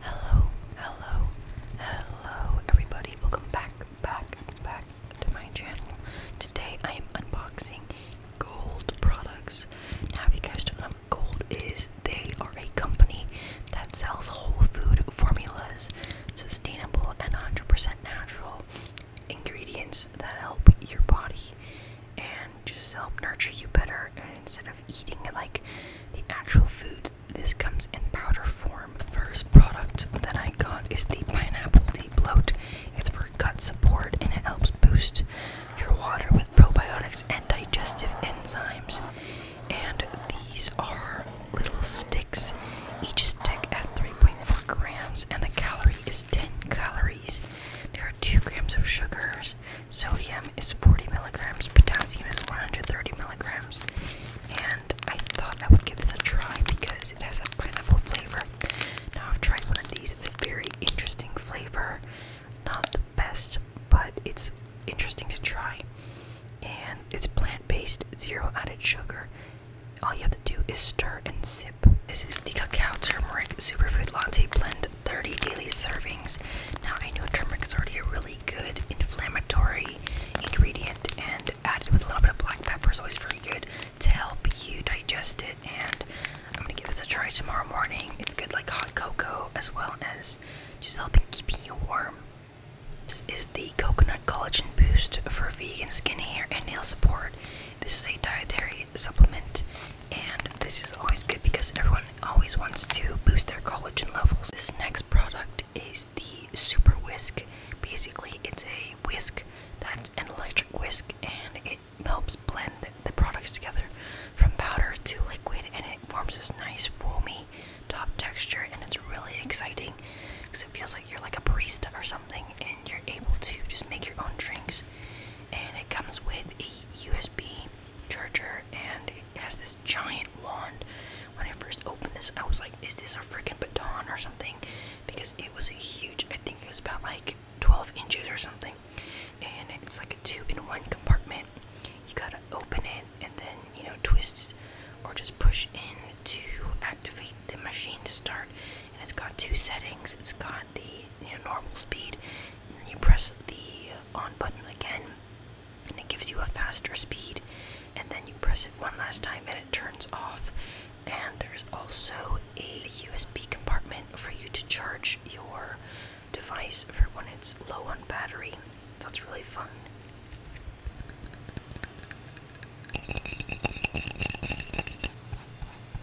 Hello, hello, hello, everybody. Welcome back, back, back to my channel. Today I am unboxing Gold products. Now, if you guys don't know what Gold is, they are a company that sells whole food formulas, sustainable and 100% natural ingredients that help your body and just help nurture you better. instead of eating like the actual foods. This comes in powder form. First product that I got is the pineapple tea bloat. It's for gut support and it helps boost your water with probiotics and digestive enzymes. And these are little sticks. Each stick has 3.4 grams and the calorie is 10 calories. There are 2 grams of sugars sodium is 40 milligrams, potassium is 130 milligrams. And I thought I would give this a try because it has a pineapple flavor. Now, I've tried one of these, it's a very interesting flavor. Not the best, but it's interesting to try. And it's plant based, zero added sugar. All you have to do is stir and sip. This is the Cacao Turmeric Superfood Latte Blend 30 daily servings. Now, I know turmeric is already a really good inflammatory ingredient, and added with a little bit of black pepper is always very good to help you digest it. And I'm gonna give this a try tomorrow morning. It's good like hot cocoa as well as just helping keeping you warm. This is the coconut collagen boost for vegan skin, hair, and nail support. This is a dietary supplement and this is always good because everyone always wants to boost their collagen levels. This next product is the Super Whisk. Basically, it's a whisk that's an electric whisk and it helps blend the products together from powder to liquid and it forms this nice foamy top texture and it's really exciting because it feels like you're like a barista or something and you're able to just make your own drinks and it comes with a USB charger and it has this giant wand. When I first opened this, I was like, is this a freaking baton or something? Because it was a huge, I think it was about like 12 inches or something. And it's like a two in one compartment. You gotta open it and then, you know, twist or just push in to activate the machine to start. And it's got two settings. It's got the normal speed, and then you press the on button again, and it gives you a faster speed, and then you press it one last time, and it turns off. And there's also a USB compartment for you to charge your device for when it's low on battery. That's really fun.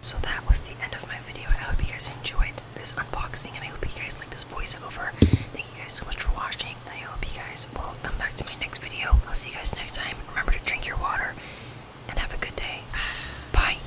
So that was the end of my video. I hope you guys enjoyed this unboxing and I hope you guys like this voiceover. Thank you guys so much for watching and I hope you guys will come back to my next video. I'll see you guys next time. Remember to drink your water and have a good day. Bye.